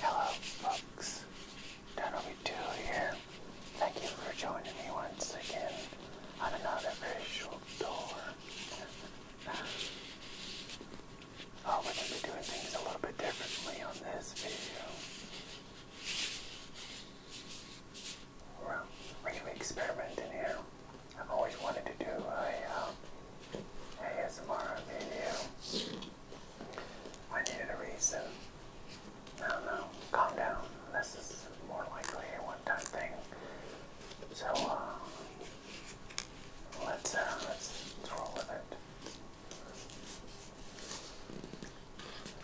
Hello, folks. Danobi2 here. Thank you for joining me once again on another virtual tour. oh, we be doing things a little bit differently on this video. we're going experimenting here. I've always wanted to do a um, ASMR video. I needed a reason. I don't know. Calm down. This is more likely a one-time thing. So uh, let's uh, let's roll with it.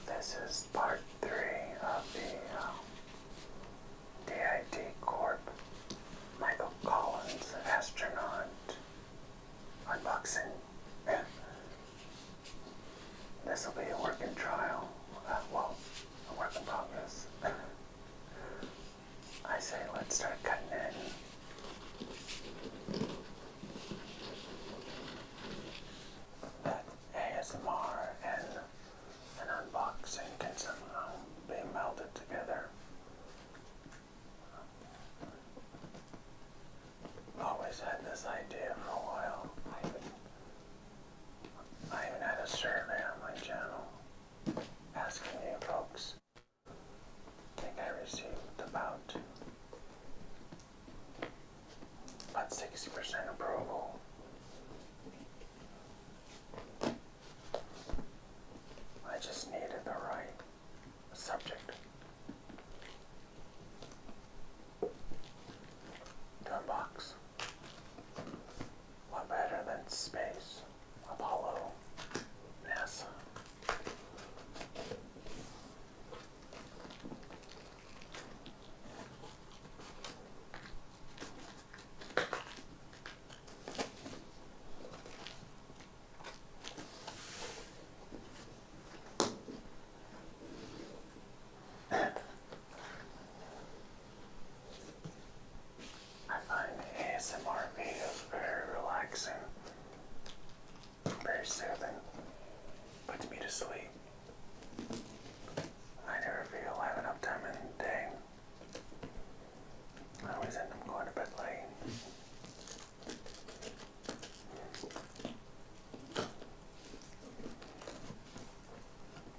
This is part three of the uh, um, DIT Corp. Michael Collins, astronaut unboxing. this will be a work in trial. Uh, well, a work in progress. I say let's start cutting in. That ASMR and an unboxing can somehow be melded together. Always had this idea for a while. I even, I even had a survey on my channel asking you folks. I think I received about about 60% approval. I just needed the right subject gunbox a lot better than space apollo nasa I find ASMR videos very relaxing, very soothing, puts me to sleep. I never feel I have enough time in the day. I always end up going to bed late.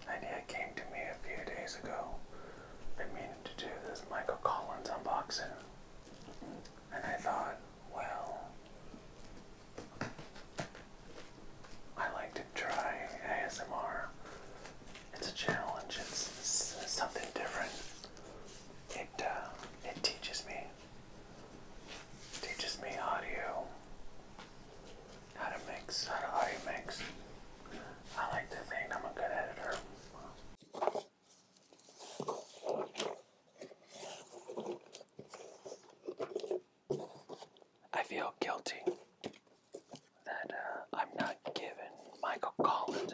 Idea came to me a few days ago. I mean to do this Michael Collins unboxing. And I thought, well, I like to try ASMR. It's a challenge. It's, something different. It uh, it teaches me Teaches me audio. How to mix, how to audio mix. I like to think I'm a good editor. I feel guilty that uh, I'm not giving Michael Collins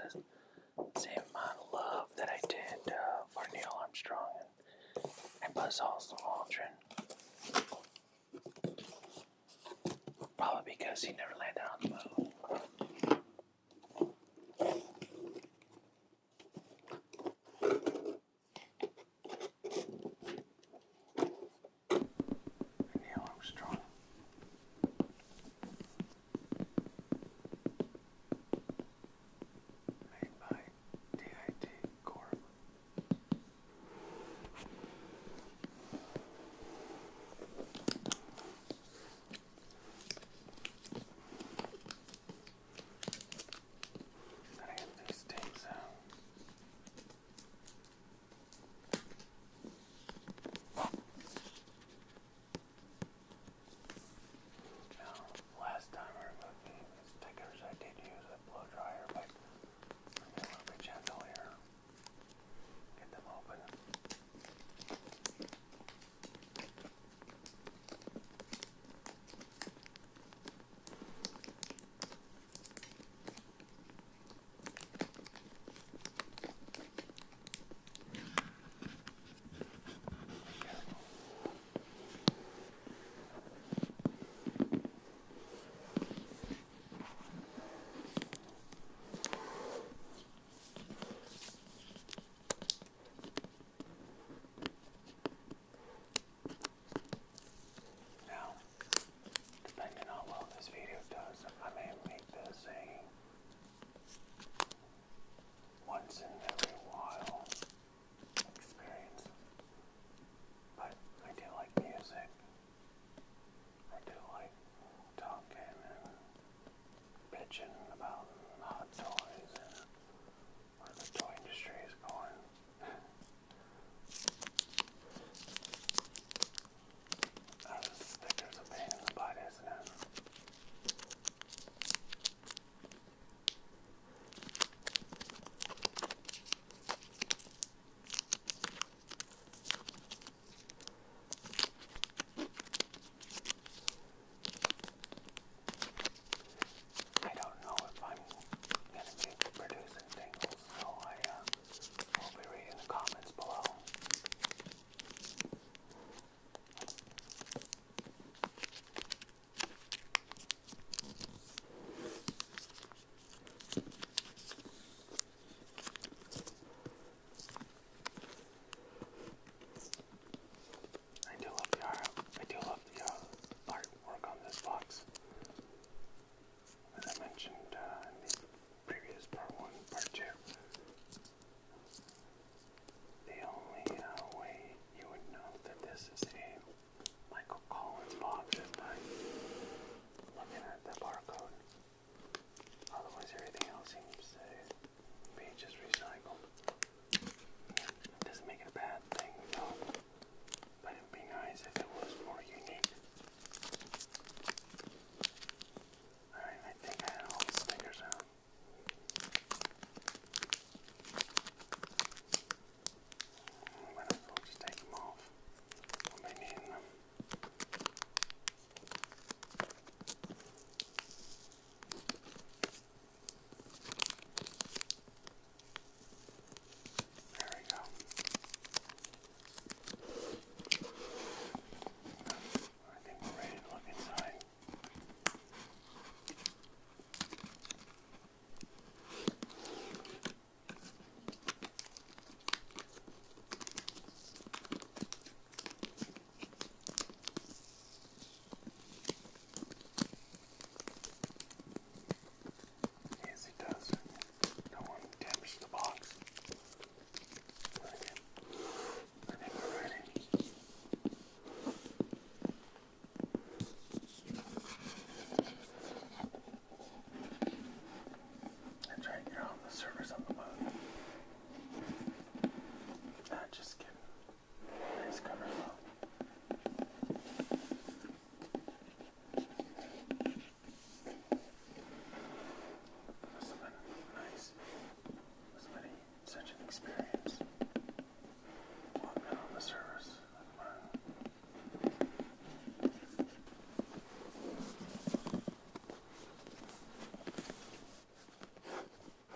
same amount of love that I did uh, for Neil Armstrong and, and Buzz Aldrin. Probably because he never landed on the moon. Neil Armstrong. Made by DIT Corp. Gotta get these things out. Now, last time I removed the stickers, I did use a blow dryer, but I'm going to be gentle here. Get them open. Now, depending on how well this video does, I may make this a once in every while experience. But I do like music. I do like talking and bitching about hot toys and where the toy industry is going. Uh, sticker's a pain isn't it? I don't know if I'm going to be producing things, so I uh, will be reading the comments below. I do love the art. I do love the uh, artwork on this box. As I mentioned uh, in the previous part one, part two, the only uh, way you would know that this is a Michael Collins box by looking at the barcode. Otherwise, everything else seems to be just recycled. It doesn't make it a bad thing, though, but it'd be nice if it was more unique. Alright, I think I had all the stickers out. When I take them off, I'll be needing There we go. I think we're ready to look inside. Yes, it does. No one damaged the box. I think we're ready. That's right, you're on the servers on the moon. Ah, just kidding. Nice cover though. This has been nice. This has been such an experience. While i on the service, I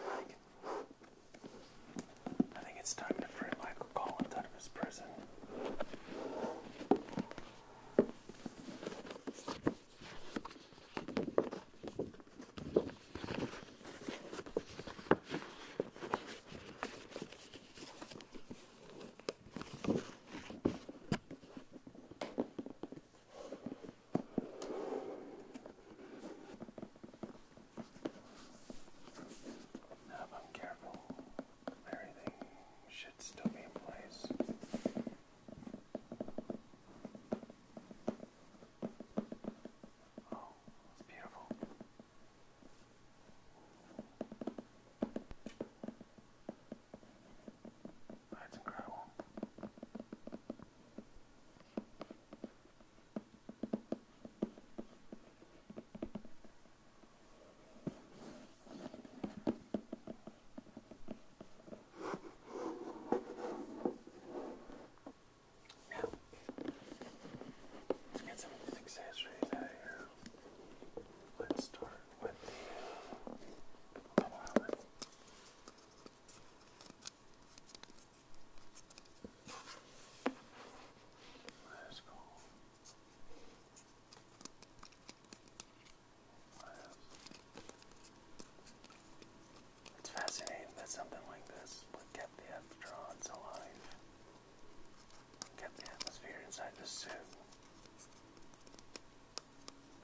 think it's time to free Michael Collins out of his prison. Now if I'm careful, everything should still be in place. Oh, it's beautiful. That's incredible. Now, let's get some of these accessories out of here. Let's start with the uh, wallet. Let's go. Let's it's fascinating that something like this would keep the electrons alive, kept the atmosphere inside the suit.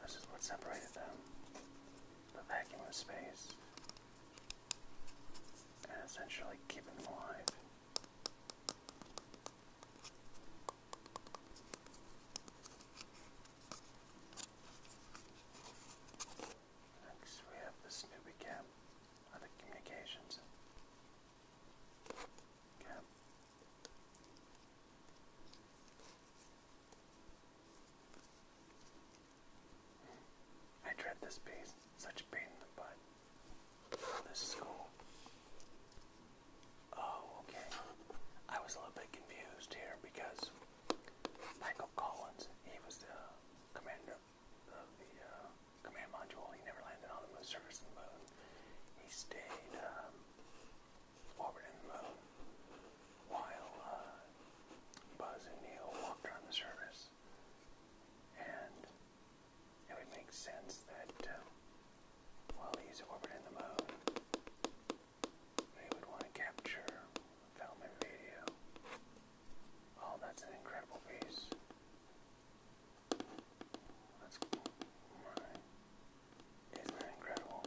This is what separated them, the vacuum of space, and essentially keeping them alive. Next we have this Snoopy Cam, other communications. Cam. I dread this piece. Such a pain in the butt. This is cool. Oh, okay. I was a little bit confused here because Michael Collins. He was the commander of the uh, command module. He never landed on the moon surface of the moon. He stayed um, orbiting the moon while uh, Buzz and Neil walked on the surface. And it would make sense that um, while he's orbiting the moon, they would want to capture film and video Oh, that's an incredible piece. That's right. Isn't that incredible?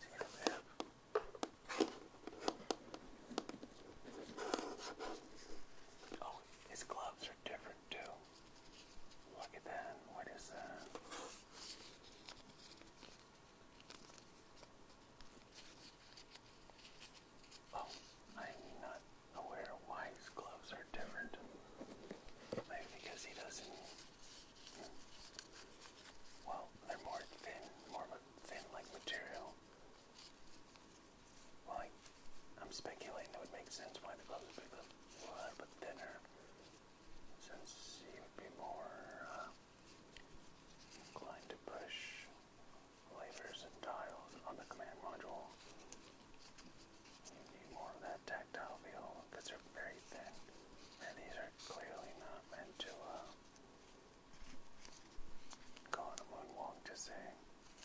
See what I Oh, his gloves are different too. Look at that. What is that? Oh, I'm not aware why his gloves are different. Maybe because he doesn't. Well, they're more thin, more of a thin like material. Well, I, am speculating it would make sense why the gloves would be a little bit thinner since he would be more uh, inclined to push levers and dials on the command module. You need more of that tactile feel because they're very thin, and these are clearly not meant to uh, go on a moonwalk to say,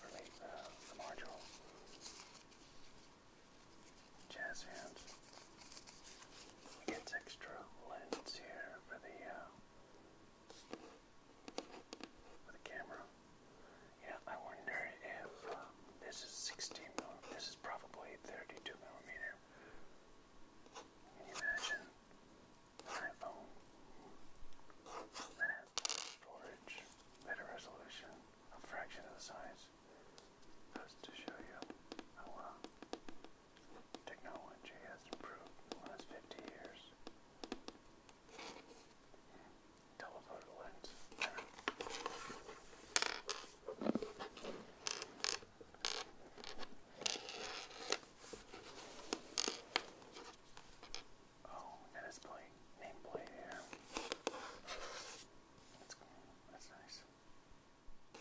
release the, the module jazz hands. gets extra lens here for the uh, for the camera. Yeah, I wonder if um, this is 16 millimeter. This is probably 32 millimeter. Can you imagine iPhone that storage, better resolution, a fraction of the size? videos just to show you how well uh, technology has improved the last 50 years. Telephoto lens. Oh, that is playing nameplate here. That's cool. That's nice. Well,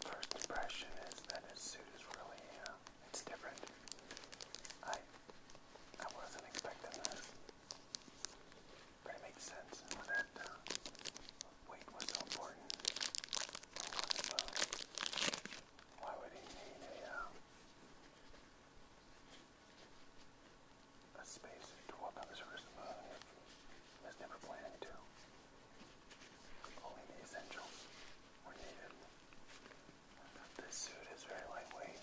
first impression is that his suit is really, uh, it's different. I, I wasn't expecting this, but it makes sense that uh, weight was so important. One of, uh, why would he need a, um, a to walk on the surface of the moon if there's never planning to? Only the essentials were needed. This suit is very lightweight,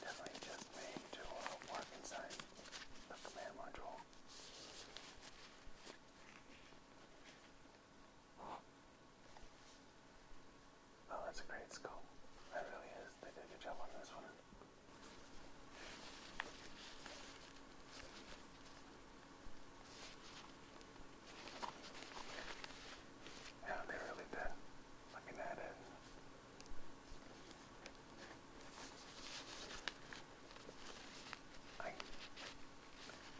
definitely just made to uh, work inside the command module. Oh, that's a great scope. That really is. They did a good job on this one. Yeah, they really did. Looking at it.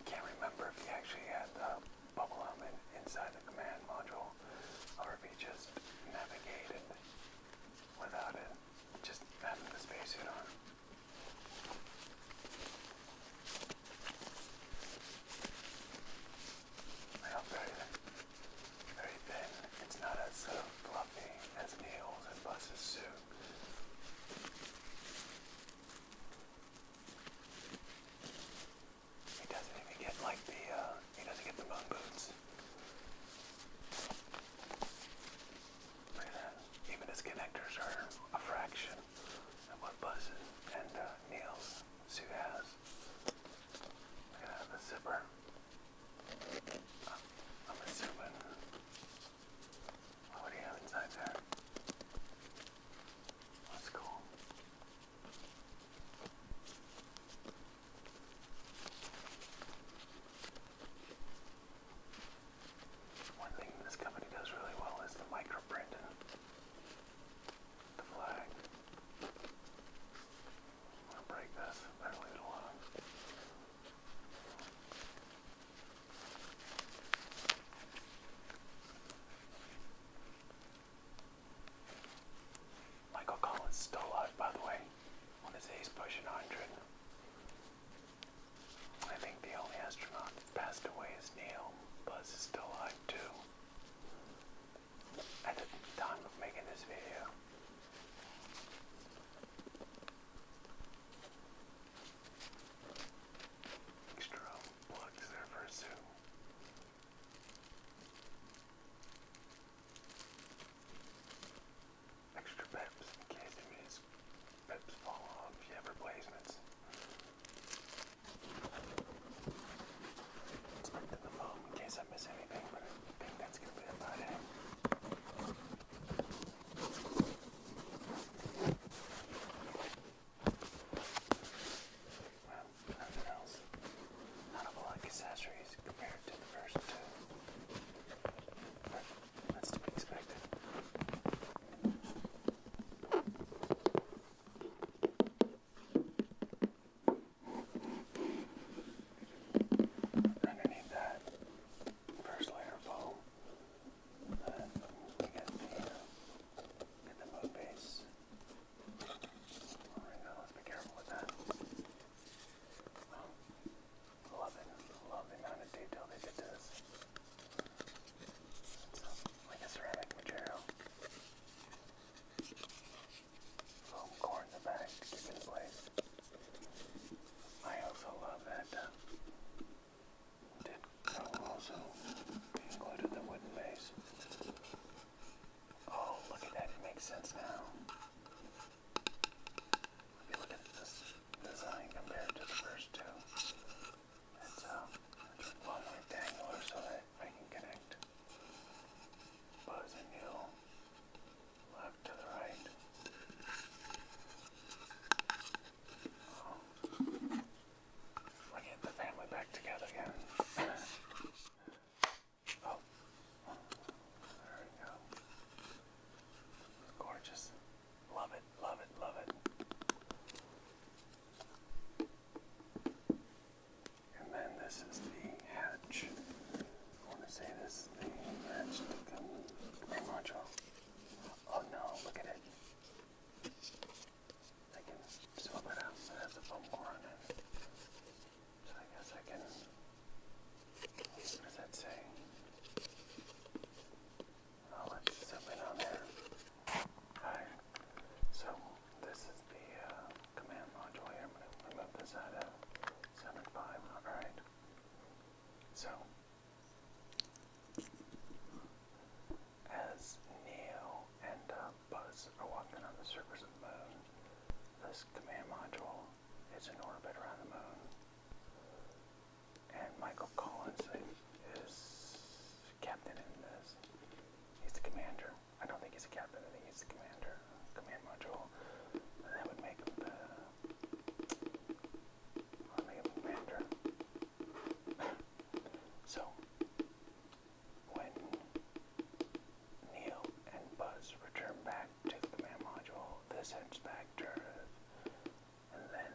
Can't remember if he actually had the bubble helmet inside the command module or if he just navigated without it, just having the spacesuit on. I hope very, very thin. It's not as uh, fluffy as Neil's and Buzz's suit. He doesn't even get like the, uh, he doesn't get the moon boots. Even his connectors are a fraction of what Buzz and uh, Neil's suit has. Look at that, the zipper. I'm assuming what do you have inside there? That's cool. One thing this company does really well is the microprint and the flag. gonna break this. Better leave it alone. Michael Collins still alive, by the way. When his he's pushing 100. I think the only astronaut that's passed away is Neil. Buzz is still alive too. At the time of making this video. Extra plugs there for a zoo. Extra peps in case you need fall off you have replacements. Inspecting the foam in case I miss anything, but I think that's gonna be about it. Well, nothing else. Not a lot of accessories compared to the first two. that's to be expected. Underneath that first layer of but love it. Love the amount of detail they did to this. like a ceramic material. Foam core in the back to it in place. I also love that did also included the wooden maze. Oh, look at it makes sense now. If you look at this design compared to the first two, it's uh, a long rectangular so that I can connect Buzz you left to the right. We're getting the family back together again. oh, there we go. Gorgeous. Love it, love it, love it. And then this is the hatch. I want to say this is the hatch to come module. Oh no, look at it. I can swap it out. It has a foam on it. So I guess I can. What does uh, that say? Oh, uh, it's something on there. Alright. So this is the command module I'm going to remove this out of 7.5. Alright. So as Neo and uh, Buzz are walking on the surface of the moon, this command module is in orbit around the moon. And Michael Collins is captain in this. He's the commander. I don't think he's a captain, I think he's the commander. Command module. That would make the. commander so, when Neil and Buzz return back to the command module, this heads back to and then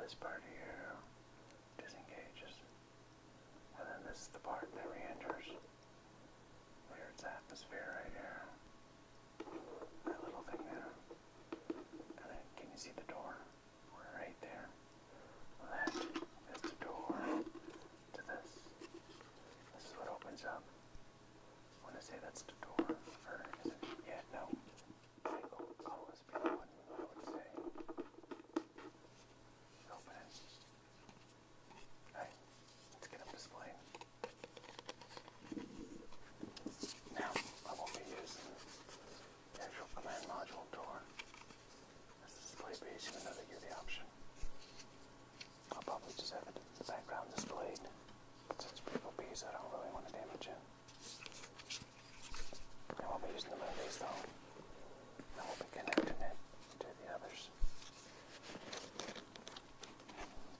this part here disengages, and then this is the part that re-enters. atmosphere right here. That little thing there. can you see the door? right there. That is the door to this. This is what opens up. want to say that's the door, Yeah, no. always be the one I would say. Open it. Alright, let's get up display. Now, I won't be using actual command module door. This display page, even though they give the option. I'll probably just have it the background displayed. But since people piece, I don't really want to damage it. I won't be using the movies though. I will be connecting it to the others.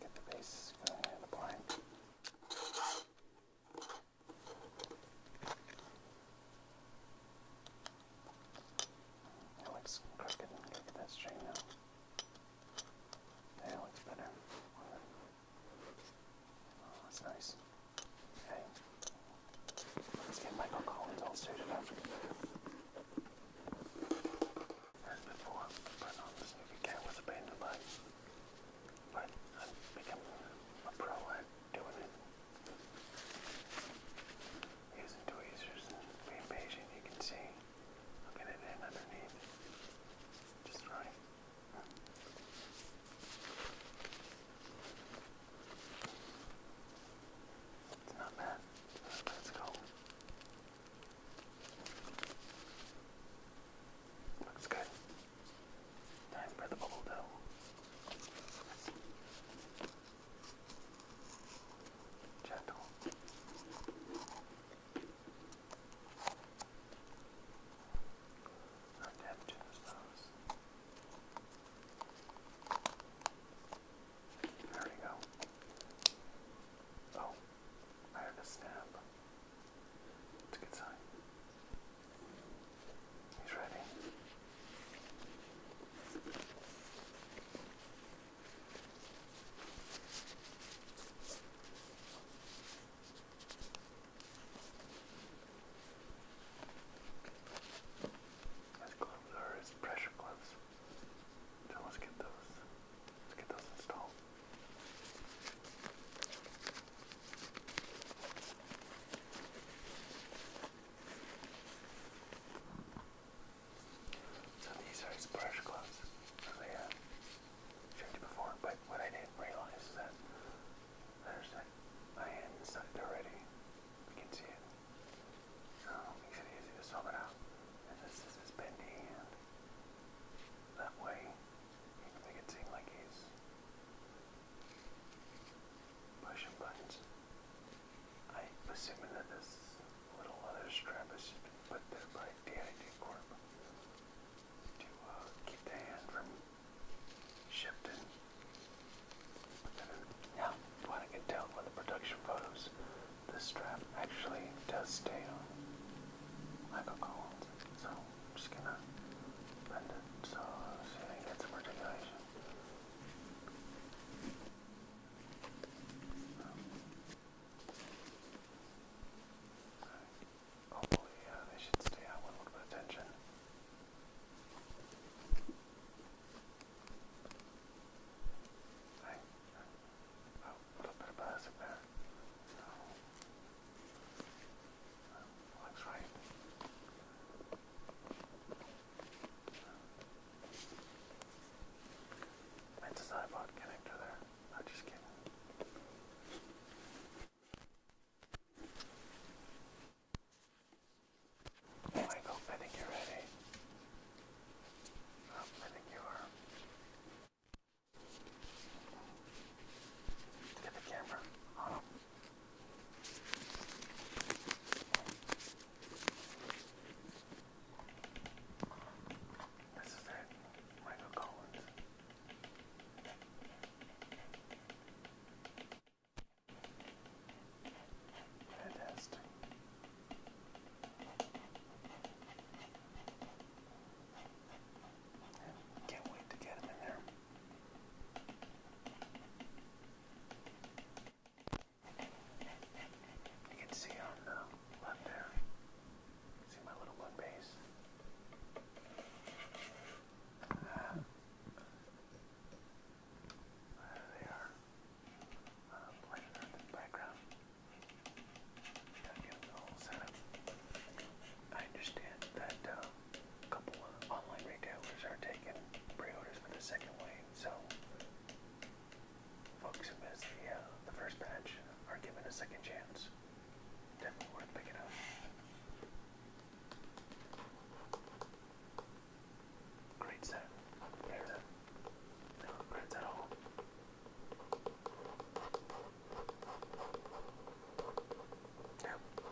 Get the base going in the blind. It looks crooked. Look that string now. Yeah, it looks better. Oh, that's nice. Okay. Let's get Michael Collins all suited up. As before, putting on this movie cat was a pain in the But i become a pro at doing it. Using tweezers being patient, you can see i it in underneath. Just right. It's not bad. Let's go. Looks good. Time for the bubble Gentle. Not that generous There we go. Oh, I heard a snap. It's a good sign. He's ready. His gloves are his pressure gloves. let's get those. Let's get those installed. So these are his brush gloves. I showed you before, but what I didn't realize is that there's that iron inside already. You can see it. makes it easy to swap it out. And this is his bendy That way make it seem like he's motion buttons. I am assuming that this little leather strap has been put there by DID Corp to uh, keep the hand from shifting. Now, what I can tell from the production photos, this strap actually does stay on like a Collins. So I'm just gonna bend it so so you get some articulation. Hopefully uh, they should stay out with a little bit of tension. Hey. Oh, a little bit of plastic there. Looks right. That's a sidebot connector there. I'm just kidding. Michael, I think you're ready. I think you are. Get the camera on this is it, Michael Collins. Fantastic. Can't wait to get him in there. You can see on the left there. See my little one base. there they are. Uh, in the background. Gotta get the setup. I understand that. Um, a couple online retailers are taking pre-orders for the second wave, so folks who missed the, uh, the first batch are given a second chance. Definitely worth picking up. Great set. There's a no regrets at all. Yep.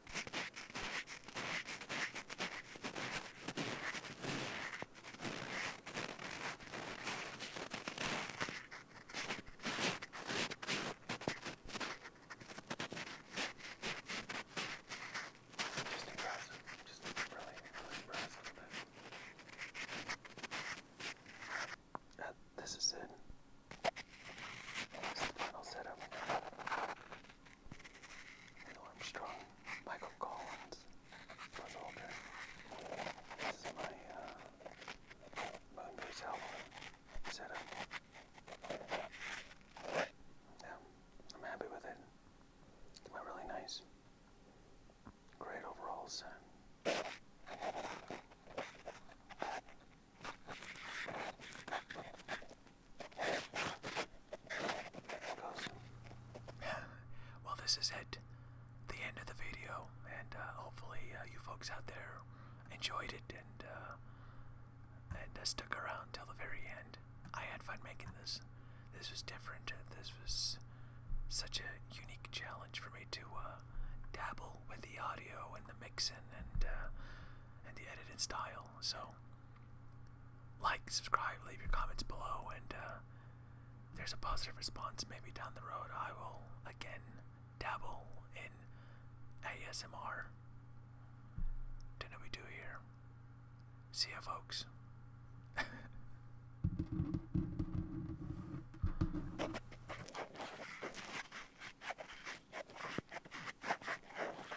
Just impress him. Just really, really impress him a bit. Uh, this is it. This is the final setup. Armstrong, Michael Collins, Buzz Aldrin. This is my Moon Base album setup. Yeah, I'm happy with it. really nice. Great overall well, this is it. The end of the video, and uh, hopefully uh, you folks out there enjoyed it and uh, and uh, stuck around till the very end. I had fun making this. This was different. This was such a unique challenge for me to dabble with the audio and the mixing and and the editing style. So. Like, subscribe, leave your comments below, and uh, there's a positive response, maybe down the road I will again dabble in ASMR. do know we do here. See ya, folks.